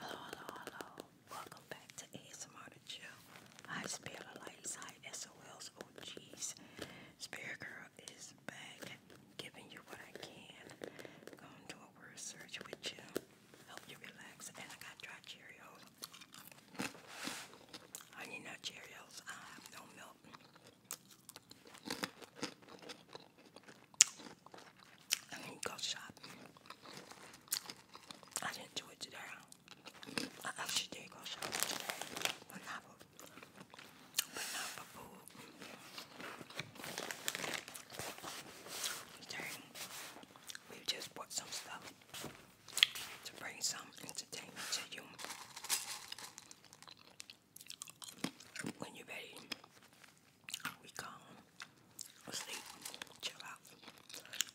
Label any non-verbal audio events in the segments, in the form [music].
Hello, hello, hello. Welcome back to ASMR to Chill. Hi, Spirit of Lights. Hi, SOLs. Oh, jeez. Girl is back, giving you what I can. Going to a word search with you. Help you relax. And I got dry Cheerios. Honey nut Cheerios. I have no milk. I didn't go shopping. I didn't do it today. I actually did go shopping We just bought some stuff to bring some entertainment to you. When you're ready, we calm, sleep, chill out.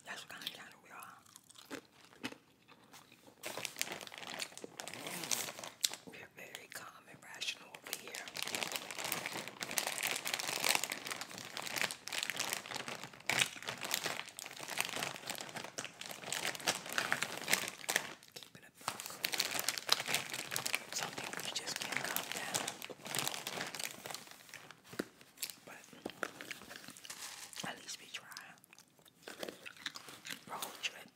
That's what kind of channel we are. We're very calm and rational over here keep it just can't calm down. But at least we try. Road trip.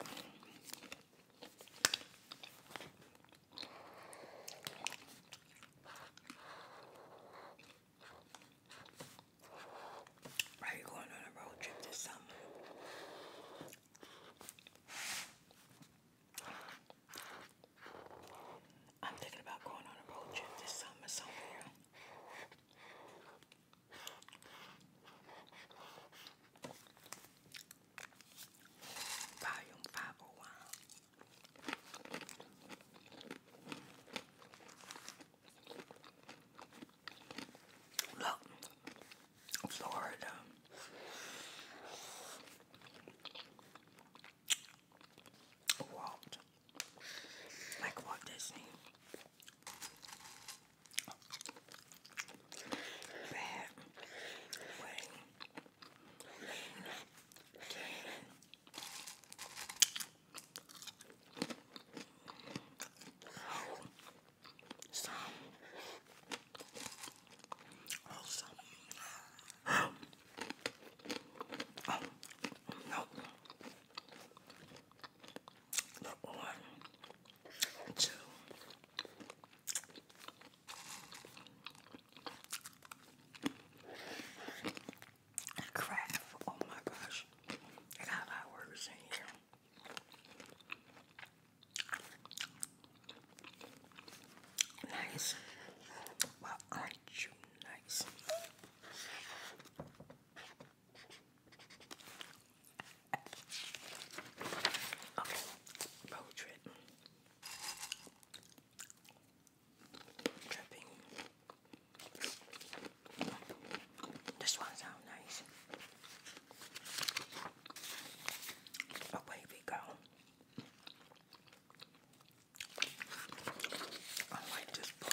Are you going on a road trip this summer? I'm thinking about going on a road trip this summer somewhere. Volume 501. Florida. Walt. Like Walt Disney. Fat. Wayne. Lean oh one two crap oh my gosh I got a words in here Nice. Why aren't you nice? Okay, road trip. Tripping. This one sounds nice. Away we go. I like this book.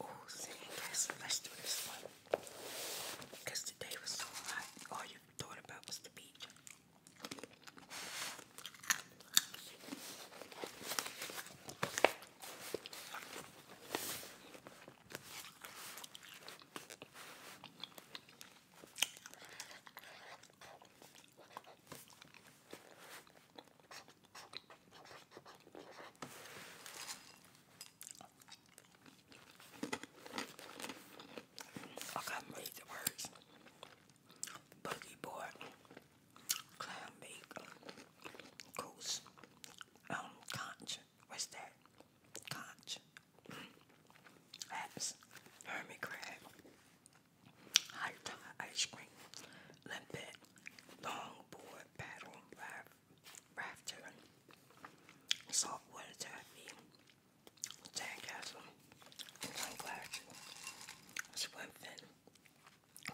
Oh, see, guys, let's do this one. Because today was so hot, all you thought about was the beach. I couldn't read the words. Boogie board, clam bake, goose, um, conch. What's that? Conch. That's hermit crab. High ice cream, limpet, long paddle raft, rafter, saltwater taffy, sandcastle, sunglasses, swim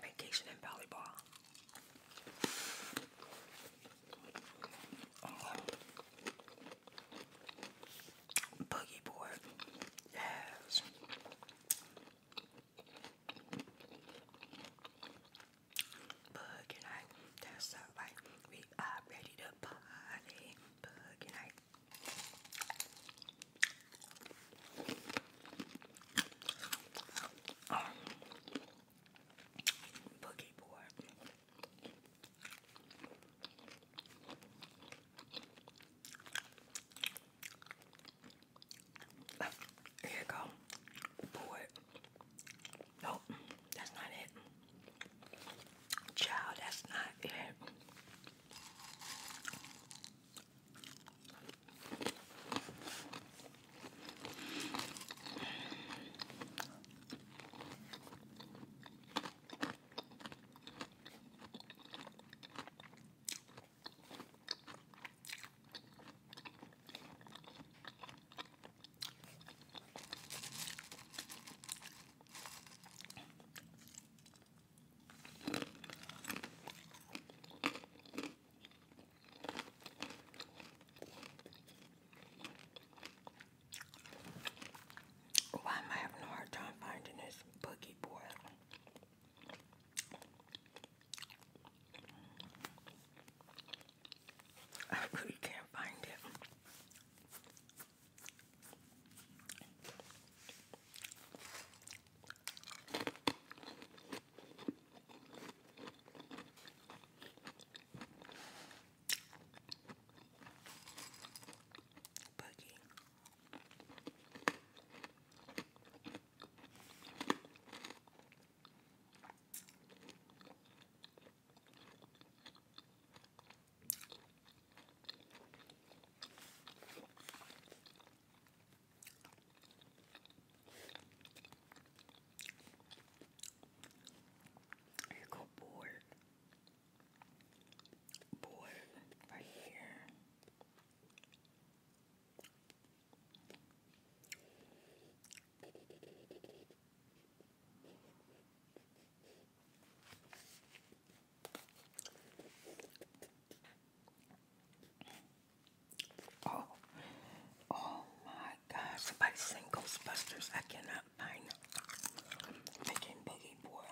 vacation, and volleyball. Um, boogie board, yes. Bug and that's alright. We are ready to party. Bug and boogie board. Here you go. Pour it. that's not it. Child, that's not it. Why am I having a hard time finding this boogie board? I [laughs] really can't find it. Boogie. You go board, board right here. Oh, oh my God! Somebody sing Ghostbusters. I cannot find it. boogie boy.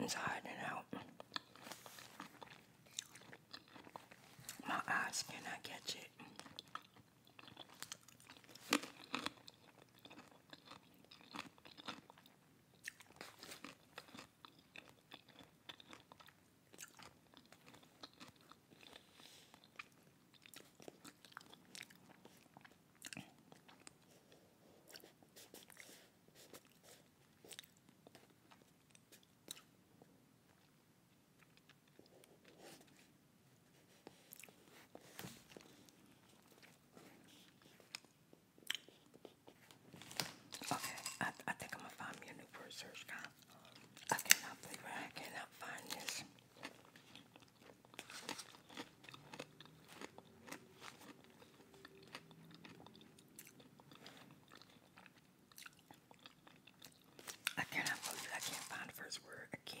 It's hiding out. My eyes cannot catch it. Okay, I, I think I'm gonna find me a new word search I cannot believe I cannot find this. I cannot can't find the first word. I can't.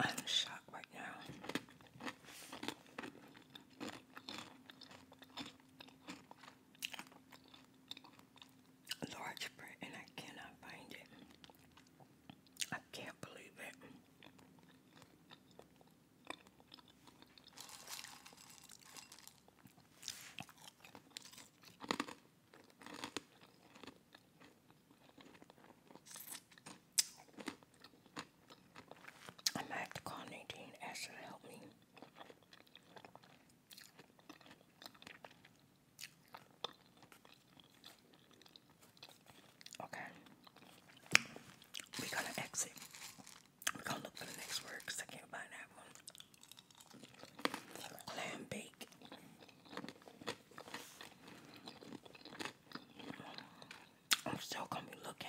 I'm shocked right now. Large print, and I cannot find it. I can't believe it. I am have to call Nadine ask her to help me. Okay. We're to exit. We're to look for the next word because I can't find that one. Clam bake. I'm still gonna be looking.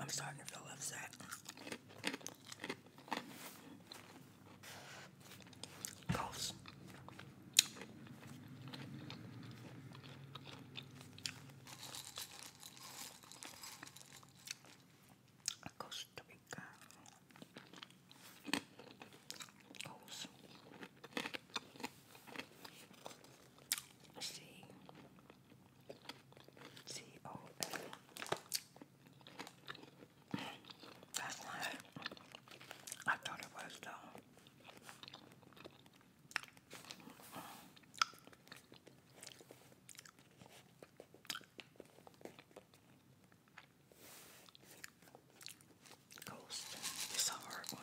I'm starting to feel upset. Ghosts. Costa Rica. Ghosts. Let's see. I thought it was though. Ghost. It's a hard one.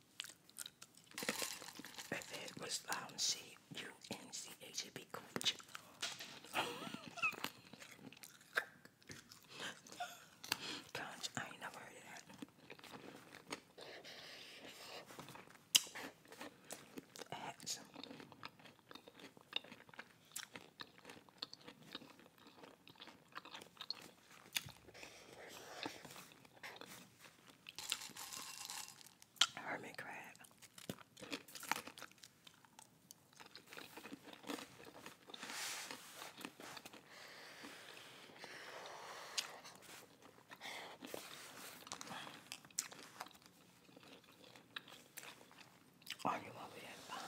If it was um, C-U-N-C-H, it'd be cooch. Conch, I ain't never heard of that. That's Hermit crab. Arguing over that bond.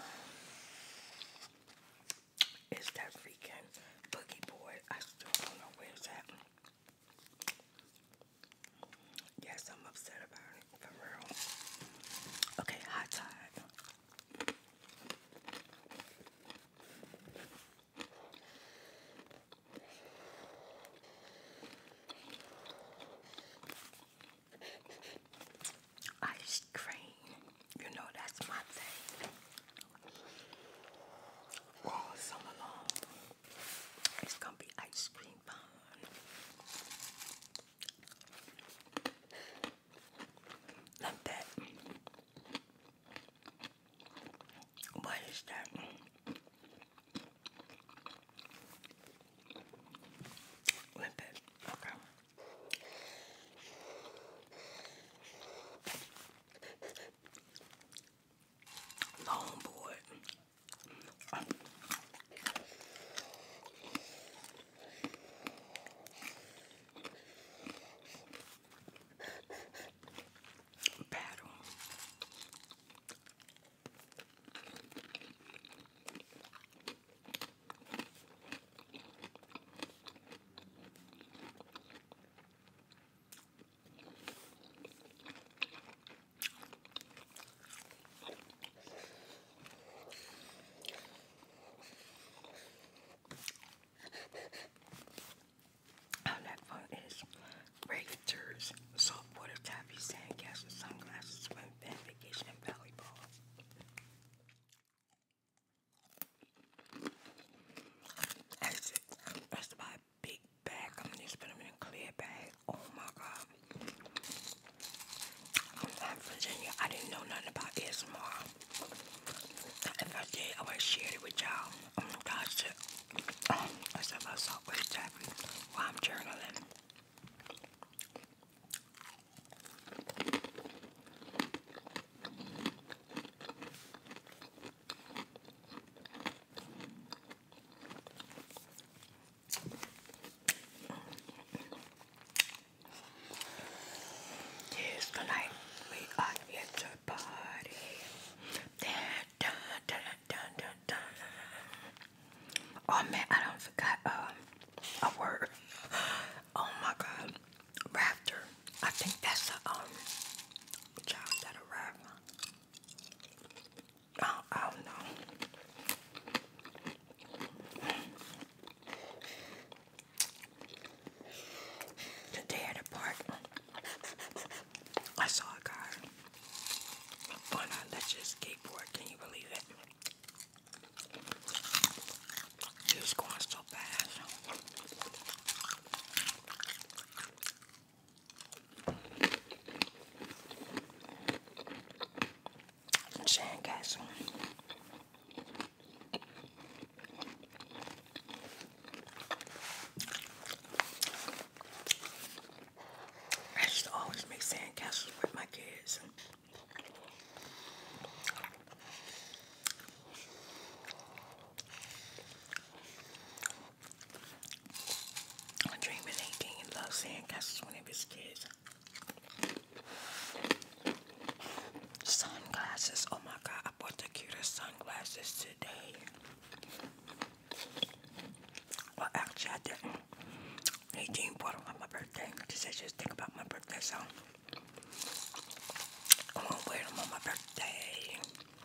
It's that freaking boogie boy? I still don't know where it's at. Yes, I'm upset about it, for real. Okay, hot time. Ice cream. You know that's my thing. All summer long. It's gonna be ice cream fun. Not that. What is that? Limpet. Okay. Long board. Battle. Our next one is Rafters, saltwater taffy, sandcastles, sunglasses, swim, fan, vacation, and volleyball. That's it. I used to buy a big bag. I'm gonna just put them in a clear bag. Oh my god. I'm from Virginia. I didn't know nothing about ASMR. If I did, I would share it with y'all. I'm um, that's it. Um, that's about Subway Taffy while I'm journaling. Yes, we are in the party. dun, dun, dun, dun, dun. Oh man, I don't forgot um, a word. [gasps] Oh my god, rafter. I think that's a um child that arrived. Oh, I don't The day at the park, I saw a guy on a electric skateboard. Can you believe it? He was going so fast. Sandcastle. I used always make sandcastles with my kids. I'm dreaming 18 loves seeing castles one of his kids. Sunglasses. Oh my god, I bought the cutest sunglasses today. Well, actually, I did 18 bought on my birthday because I just think about my birthday, so I'm gonna wear them on my birthday.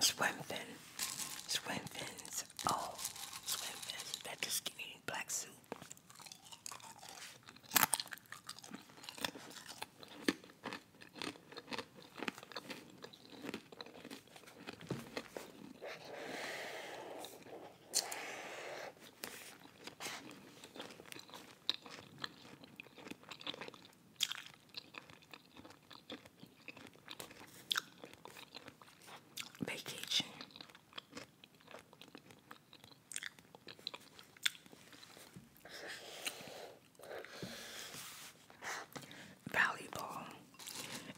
Swim fin. Swim fins. Oh, swim fins. That just give me black soup. Vacation. Volleyball.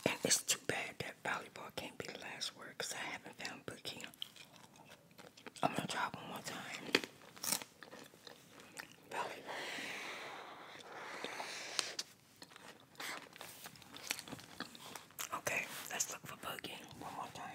And it's too bad that volleyball can't be the last word because I haven't found Bookie. I'm gonna try one more time. okay, let's look for boogie one more time.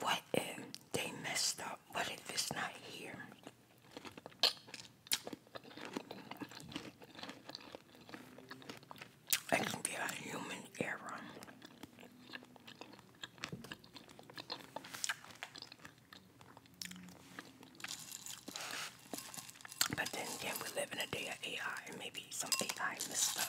What if they messed up? What if it's not here? It can be a human error. But then again, we live in a day of AI, and maybe some AI messed up.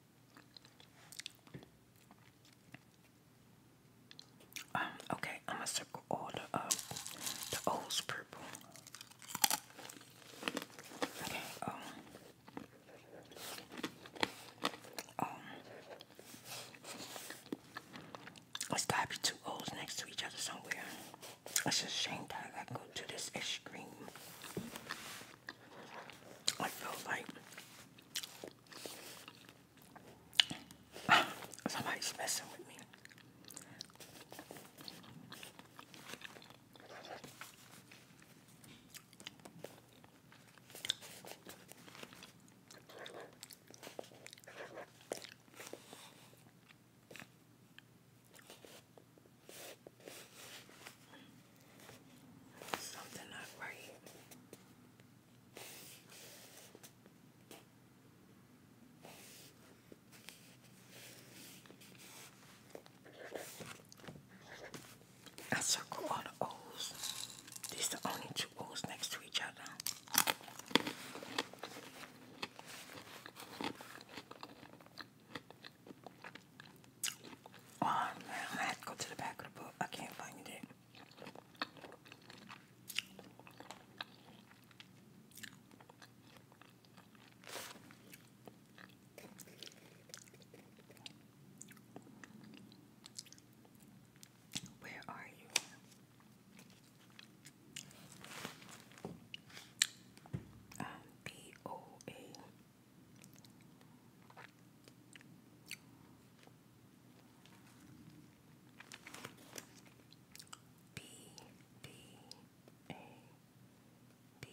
Um, okay, I'm gonna circle all the uh, the O's purple. Okay, um, um, it's got two O's next to each other somewhere. It's a shame that I go to this extreme. I feel like [sighs] Somebody's messing with me. Something not right. I circle all the O's. These are the only two O's next to each other. Oh man, I have to go to the back of the book. I can't find it. Where are you? Um, B B A B P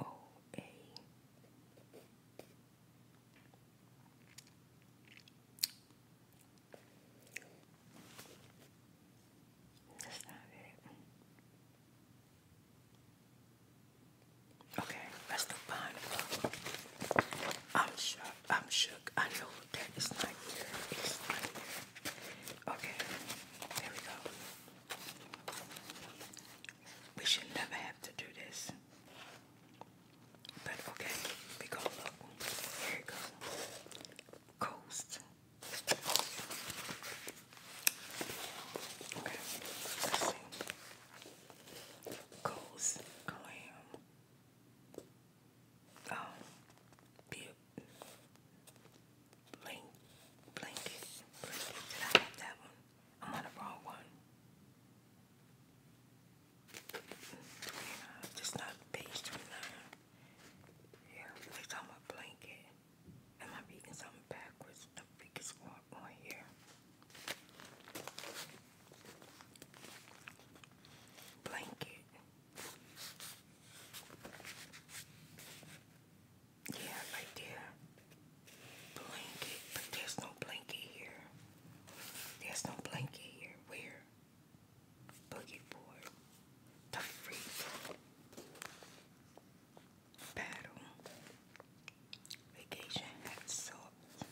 O A Okay, that's the pineapple. I'm shook. I'm shook. I know that not here. Okay, there we go. We should never have to do this. But okay, we going Here it goes. Coast. Okay, Coast glam. Um, oh. be a blank, blanket, blanket. Did I have that one? I'm on the wrong one just not page 29. Yeah, place on my blanket. Am I reading something backwards? The biggest one on here. Blanket. Yeah, right there. Blanket, but there's no blanket here. There's no blanket here. Where? Boogie board. The freezer. Paddle. Vacation hat salt.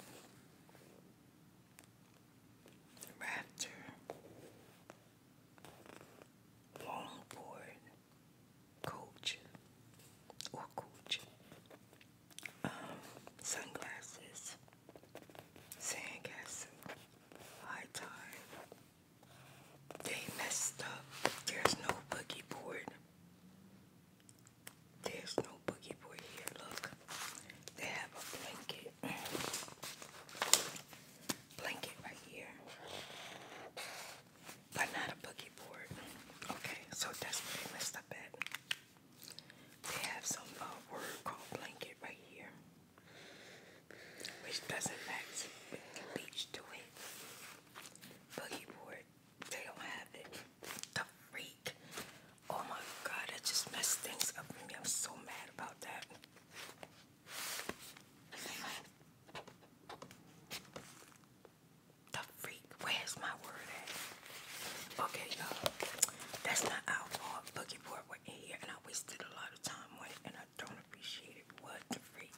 Rafter. Longboard. Coach. Or coach. Um, sunglasses. Sandcastle, High Tide. They messed up. There's no boogie board. There's no boogie board here. Look, they have a blanket. Blanket right here. But not a boogie board. Okay, so desperately what they messed up they have some uh, word called blanket right here, which doesn't match beach to it. Boogie board, they don't have it. The freak. Oh my god, I just messed things up I'm so mad about that. The freak, where's my word Okay, y'all. That's not our fault. Boogie board went in here and I wasted a lot of time on it and I don't appreciate it. What the freak?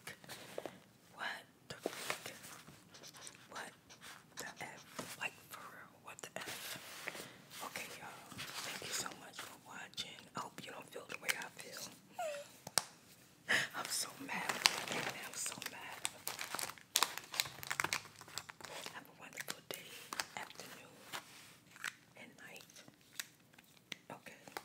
What the freak? What the F? Like for real, what the F? Okay, y'all. Thank you so much for watching. hope you don't feel the way I feel. [laughs] I'm so mad. I'm so mad. Have a wonderful day, afternoon, and night. Okay.